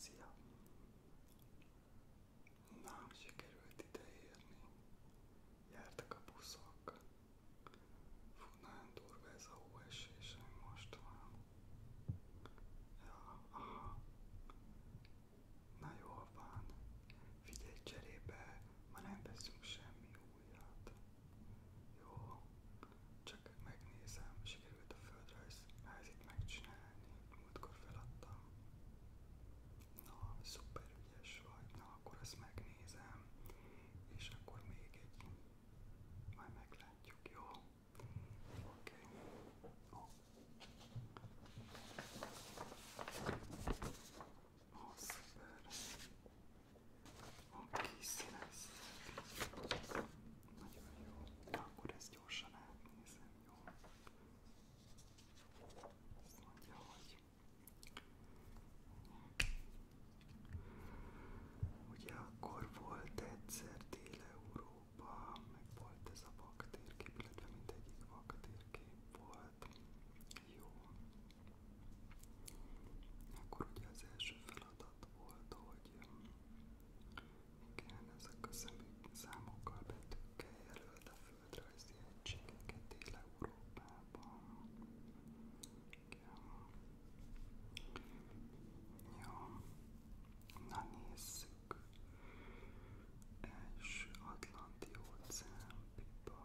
Szia! Na, sikerült ideérni. Jártak a buszok. Fú, nagyon durva ez a hóesésem most van. Ja, aha. Na jól van. Figyelj cserébe, ma nem veszünk semmi újat. Jó? Csak megnézem, sikerült a földrajz házit megcsinálni, múltkor feladtam. Na, szuper ügyes vagy, na akkor azt megnézem, és akkor még egy, majd meglátjuk, jó? Oké. Okay. Oh. Oh, szuper. Oh, kis színeztet. Nagyon jó. Akkor ezt gyorsan átnézem, jó? Azt mondja, hogy... Ugye akkor volt egyszer Dél-Európa, meg volt ez a vaktérkép, illetve mindegyik vaktérkép volt. Jó. Akkor ugye az első feladat volt, hogy Kán ezek a személy, számokkal betűkkel jelölt a földrajzi egységeket Dél-Európában. Ja. Na nézzük. Első Atlanti óceán, Pipa,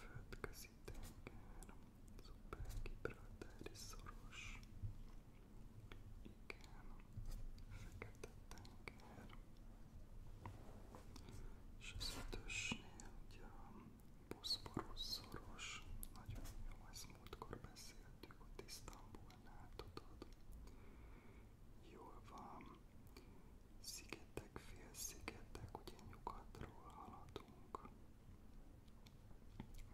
Földközi tenger, Szuper Gibraltári szoros, igen, fekete tenger. És az ötösnél ugye a boszporusz szoros, nagyon jó, ezt múltkor beszéltük, ott Isztambulnál, tudod. Jól van, szigetek, félszigetek, ugye nyugatról haladunk.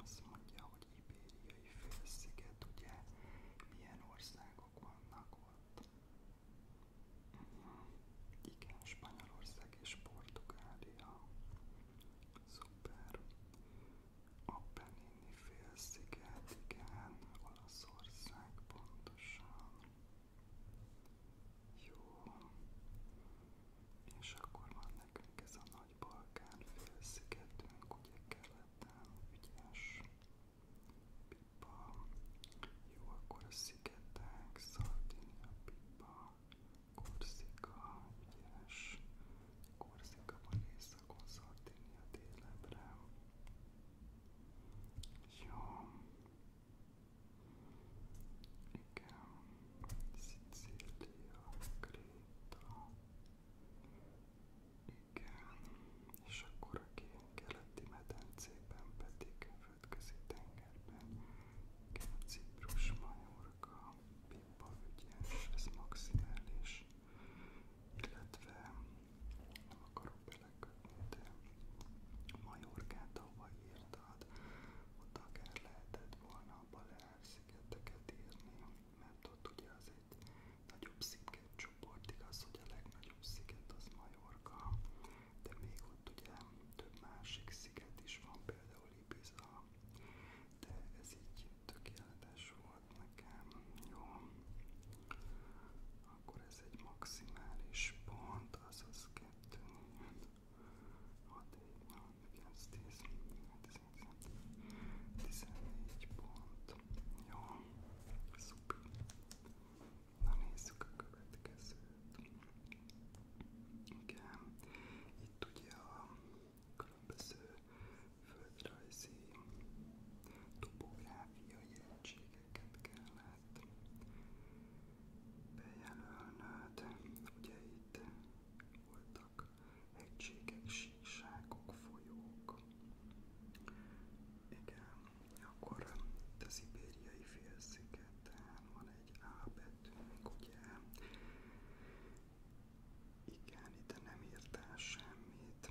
Azt mondja, hogy Ibériai félsziget, ugye? Milyen országok vannak ott? Mhm. Igen, Spanyolország és Portugália. Szuper. A Penini félsziget, igen, Olaszország pontosan. Jó. És akkor van nekünk ez a nagy-Balkán félszigetünk, ugye keleten, ügyes, pipa, jó, akkor a szigetek, Szardinia, pipa, Korszika, ügyes, Korszika van északon, Szardinia délebre, jó, igen, Szicília, Kréta, igen, és akkor a keleti medencében pedig földközi tengerben. Igen, a Ciprus, Majorka, Pippa ügyes, ez maximális, illetve nem akarok belekötni, de Majorkát, ahova írtad, oda kell lehetett volna a Balear-szigeteket írni, mert ott ugye az egy nagyobb sziget csoport, igaz, hogy a legnagyobb sziget az Majorka, de még ott ugye több másik sziget is van, például Ibiza, de ez így tökéletes volt nekem, jó? Akkor ez egy maximális pont, azaz 2, 4, 6, 7, 8, 9, 10, 11, 14 pont. Jó, szuper. Na nézzük a következőt. Igen, itt ugye a különböző földrajzi topográfiai egységeket kellett bejelölnöd. Ugye itt voltak hegységek, síkságok, folyók. Igen, akkor itt a szibériai félszigeten van egy A betűnk, ugye? Igen, ide nem írtál semmit,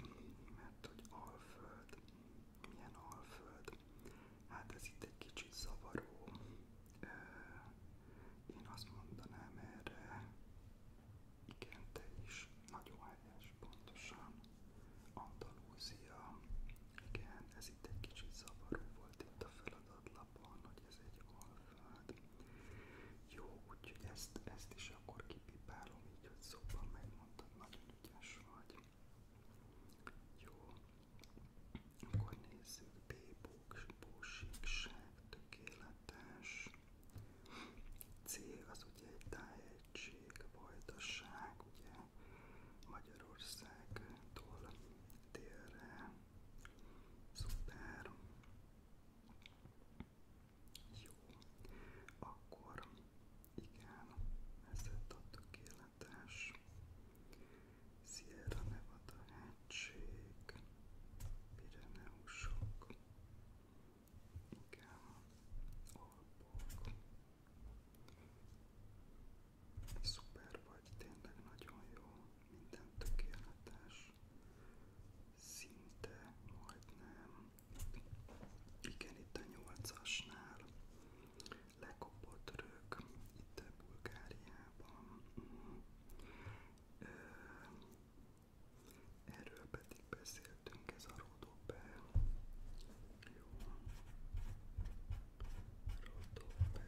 mert hogy Alföld, milyen Alföld? Hát ez itt egy kicsit zavaró. Én azt mondanám erre, igen, te is, nagyon helyes, pontosan. Andalúzia, igen, ez itt egy kicsit zavaró volt itt a feladatlapon, hogy ez egy alföld. Jó, úgyhogy ezt, ezt is akkor kipipálom, így, hogy szóban megmondtad, nagyon ügyes vagy. Jó, akkor nézzük, B-bók, bósíkság, tökéletes. C az ugye egy tájegység, vajdaság, ugye Magyarországtól délre. Szuper. Jó. Akkor igen, ezzel a tökéletes. Sierra Nevada Szövetség, Pireneusok, igen, Alpok. Szuper vagy, tényleg nagyon jó, minden tökéletes, szinte majdnem. Igen, itt a nyolcasnál lekopott rög, itt a Bulgáriában. Mm. Ö, Erről pedig beszéltünk, ez a Rodopel. Jó. Rodopel.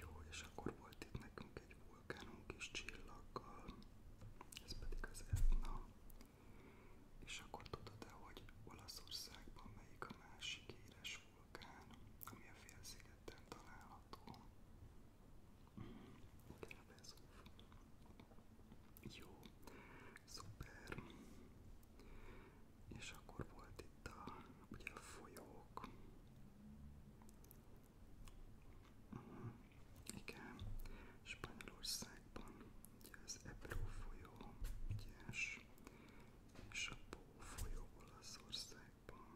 Jó, és akkor volt itt nekünk egy vulkánunk is csillaggal, ez pedig az Etna. És akkor tudod-e, hogy Olaszországban melyik a másik híres vulkán, ami a félszigeten található. Kábezúf. Jó, szuper. És akkor volt itt a, ugye a folyók. Mhm, igen, Spanyolországban ugye az Ebro folyó, ugye, és Sapó folyó Olaszországban.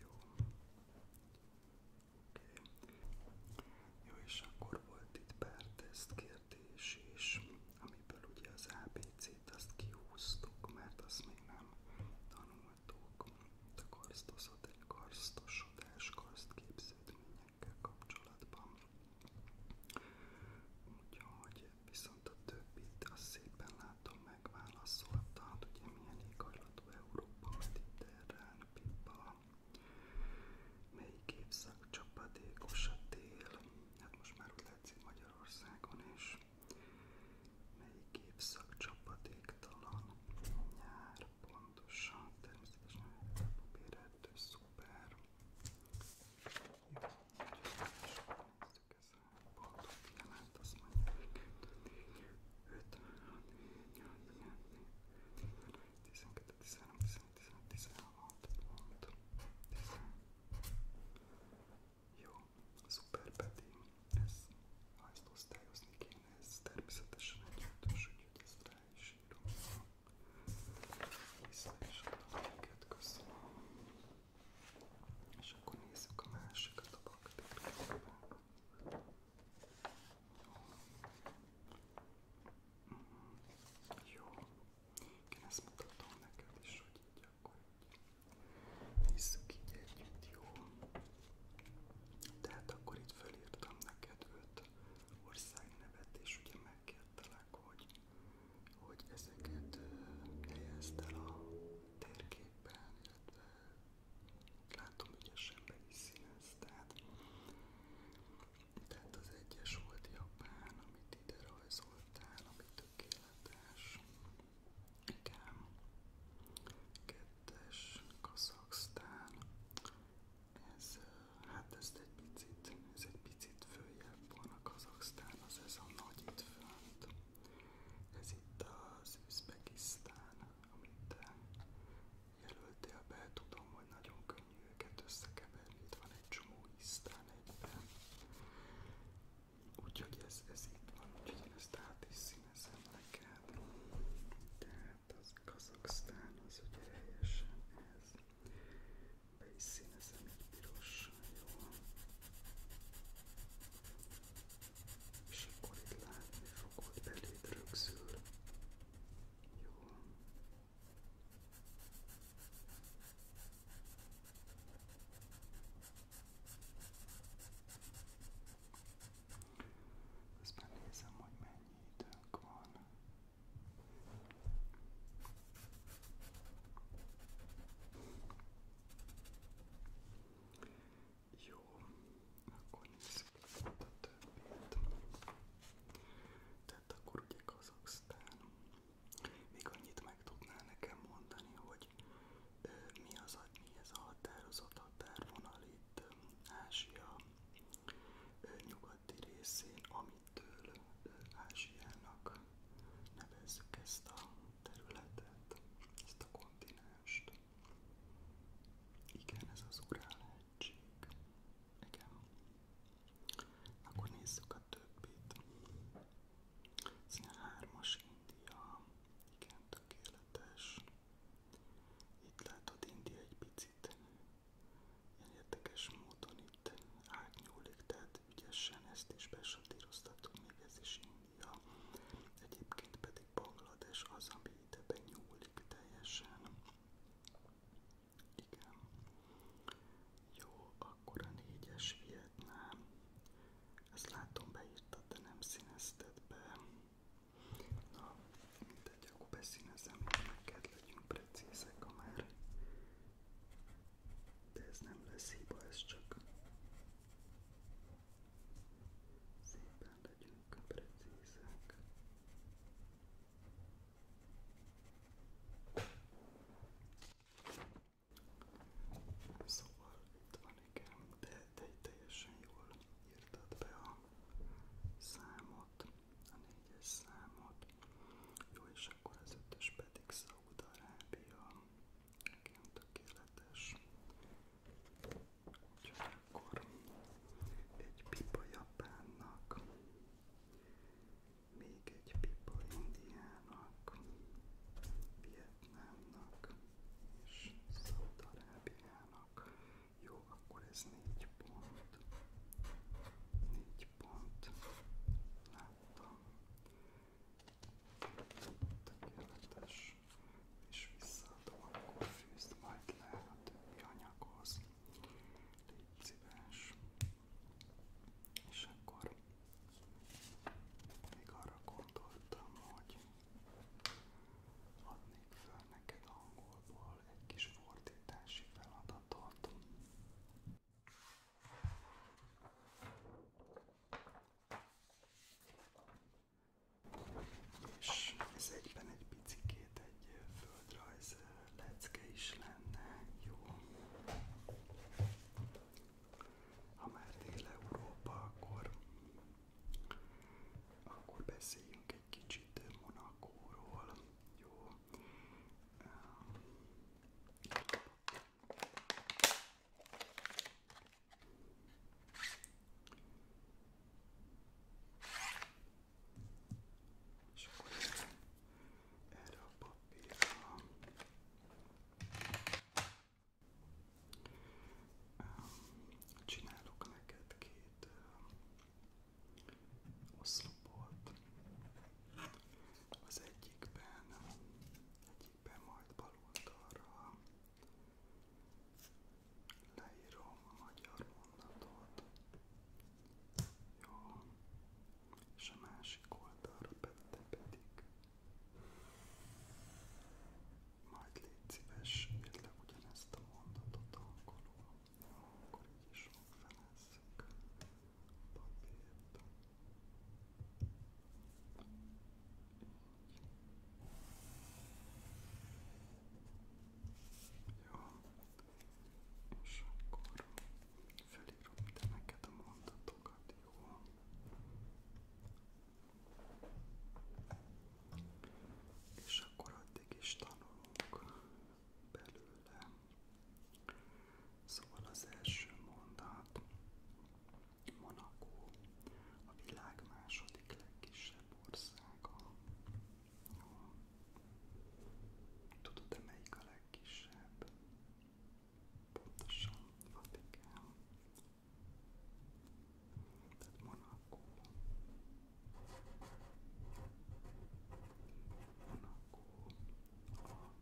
Jó. Okay. Jó, és akkor volt itt pár teszt kérdés is, amiből ugye az ABC-t azt kihúztuk, mert azt még nem tanultuk. A karsztosodás, karszt képződményekkel kapcsolatban. Úgyhogy viszont a többit azt szépen látom megválaszolta, hát ugye milyen éghajlatú Európa, mediterrán, pipa, melyik évszak csapadékos a tél, hát most már úgy látszik Magyarországon is, melyik évszak csapadéktalan nyár, pontosan, természetesen hát, a hát, szuper. Jó, szuper Peti, ezt hajsztosztályozni kéne, ez természetesen egy ötös, úgyhogy ezt rá is írom. Vissza is adom neked, köszönöm. És akkor nézzük a másikat a baktériumban. Jó. Én ezt mutatom neked is, hogy így akkor így. Nézzük így együtt, jó? Tehát akkor itt fölírtam neked öt országnevet, és ugye megkértelek mondták, hogy, hogy ezeket helyezd el a térképben, illetve látom, ügyesen be is színez, tehát, tehát az egyes volt Japán, amit ide rajzoltál, ami tökéletes. Igen. Kettes Kazaksztán. Ez, hát ez ezt egy picit, ez egy picit följebb van a Kazaksztán, az ez a nagy itt fönt. Ez itt az Üzbegisztán, amit te jelöltél be, tudom, hogy nagyon könnyű őket összekeverni, itt van egy csomó isztán egyben. Úgyhogy ez, ez itt van, úgyhogy én ezt át is színezem neked. Tehát az Kazaksztán az ugye helyesen ez. Be is színezem egy pirossal, jó? És akkor itt látni fogod, beléd rögzül. Jó. Aztán nézem, hogy mennyi időnk van. Jó, akkor nézzük itt a többit. Tehát akkor ugye Kazaksztán. Még annyit meg tudnál nekem mondani, hogy ö, mi az, mi ez a határozott határvonal itt Ázsia nyugati részén, ami től Ázsiának nevezzük ezt a területet, ezt a kontinenst. Igen, ez az Urál-hegység. Igen. Akkor nézzük a többit. Ez ilyen hármas India. Igen, tökéletes. Itt látod India egy picit. Ilyen érdekes módon itt átnyúlik, tehát hát ügyesen ezt is besatíroztatom, még ez is India. Egyébként pedig Banglades az, ami ide benyúlik teljesen. Igen. Jó, akkor a négyes Vietnám. Ezt látom beírtad, de nem színezted be. Na, mindegy, akkor beszínezem, hogy neked legyünk precízek, ha már de ez nem lesz hiba, ez csak szépen legyünk precízek. Szóval itt van igen, de te teljesen jól írtad be a számot, a négyes számot. Jó, és akkor az ötös pedig Szaúd-Arábia. Igen, tökéletes. Úgyhogy akkor egy pipa Japánnak, még egy pipa Indiának, Vietnámnak és Szaúd-Arábiának. Jó, akkor ez négy pont. Négy pont. Tökéletes. És visszaadom, akkor fűzd majd le a többi anyaghoz. Légy szíves. És akkor még arra gondoltam, hogy adnék föl neked angolból egy kis fordítási feladatot. És ez egyben egy picikét egy földrajz lecke is lenne, jó? Ha már Dél-Európa, akkor, akkor beszéljünk egy kicsit Monakóról, jó? És akkor erre a papírra ehm, csinálok neked két ehm, oszlopot. Az egyikben, egyikben majd bal oldalra leírom a magyar mondatot, jó, és a másik oldalra pedig majd légy szíves, írd le ugyanezt a mondatot angolul, jó, akkor így is megfelezzük pamiętam. Jó, és akkor felírom ide neked a mondatokat, jó? És akkor addig is tanulunk belőle. Szóval az első mondat, Monaco a világ második legkisebb országa. Tudod-e melyik a legkisebb? Pontosan Vatikán. Tehát Monaco. Monaco a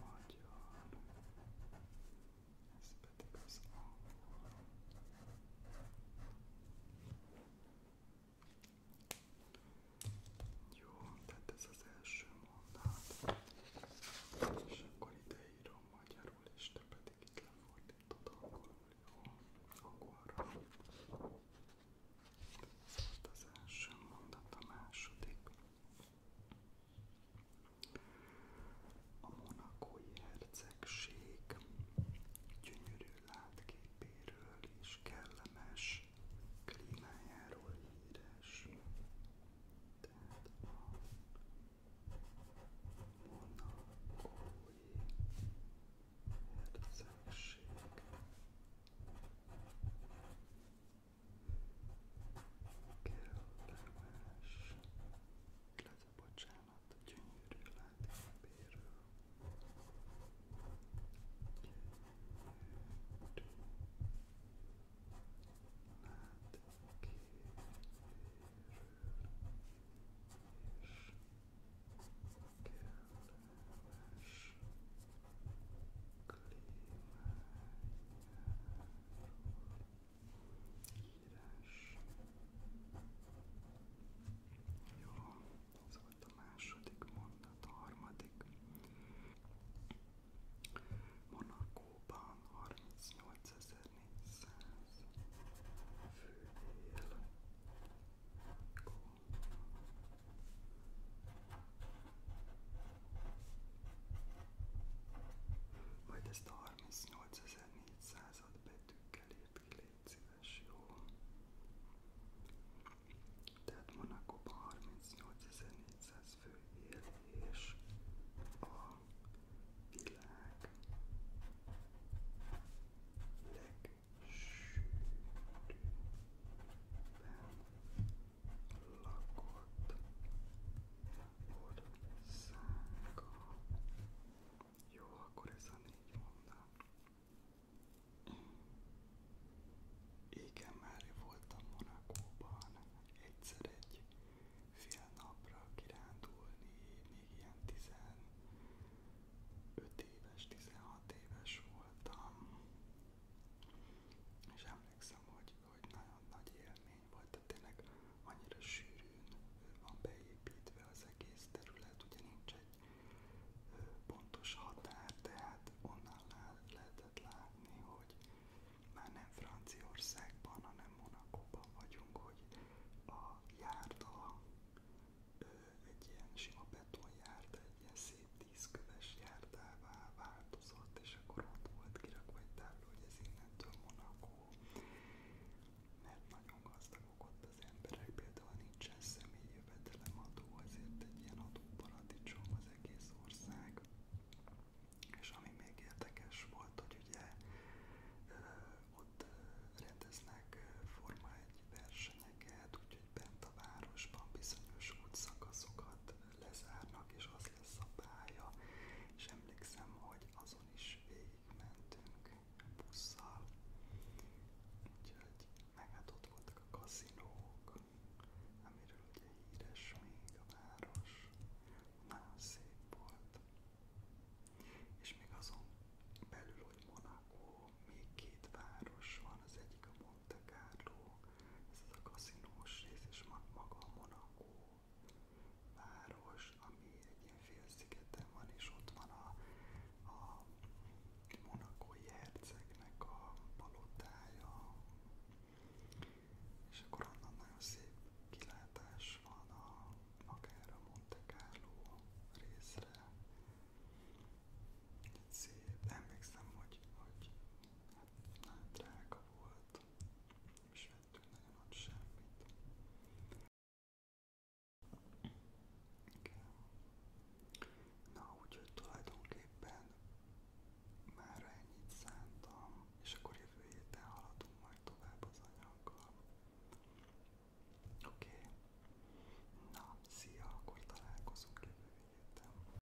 magyar, ez pedig az angol. Jó, tehát ez az első mondat, és akkor ide írom magyarul, és te pedig itt lefordítod angolul, jó? Angolra. Ez volt az első mondat, a második. A monakói hercegség gyönyörű látképéről és kellemes klímájáról híres. Tehát a monakói hercegség Kellemes, illetve bocsánat, gyönyörű látványbérő. Gyönyörű látványbérő és kellemes írás. Jó, ez volt a második mondat, a harmadik. Monakóban 38.400 fő él. Kó. Majd ezt a 38.400 betűkkel ért ki, légy szíves, jó? Tehát Monakóban 38.400 fő él, és a világ legsűrűbben lakott országa. Jó, akkor ez a négy mondat. Igen, már voltam Monakóban egyszer egy fél napra kirándulni, még ilyen 15 éves, 16 éves voltam, és emlékszem, hogy hogy nagyon nagy élmény volt, tehát tényleg annyira sűrűn van beépítve az egész terület, ugye nincs egy pontos határ, tehát onnan lehetett látni, hogy már nem Franciaországban, hanem Monakóban vagyunk, hogy a járda, egy ilyen sima betonjárda, egy ilyen szép tízköves járdává változott, és akkor ott volt kirakva egy tábla, hogy ez innentől Monaco, mert nagyon gazdagok ott az emberek, például nincsen személyi jövedelemadó, ezért egy ilyen adóparadicsom az egész ország. És ami még érdekes volt, hogy ugye ott rendeznek Forma 1 versenyeket, úgyhogy bent a városban bizonyos útszakaszokat lezárnak, és az lesz a pálya, és emlékszem, hogy azon is végigmentünk busszal, úgyhogy meg hát ott voltak a kaszinók, amiről ugye híres még a város, nagyon szép volt. És még azon belül, hogy Monaco, még két város van, az egyik a Monte Carlo, ez az a kaszinós rész, és maga a Monaco város, ami egy ilyen félszigeten van, és ott van a, a monakói hercegnek a palotája, és akkor onnan nagyon szép kilátás van a, akár a Monte Carlo részre. Szép, emlékszem, hogy, hogy hát már drága volt, nem is vettünk nagyon ott semmit. Igen. Na, úgyhogy tulajdonképpen már ennyit szántam, és akkor jövő héten haladunk majd tovább az anyaggal. Oké. Okay. Na, szia, akkor találkozunk jövő héten.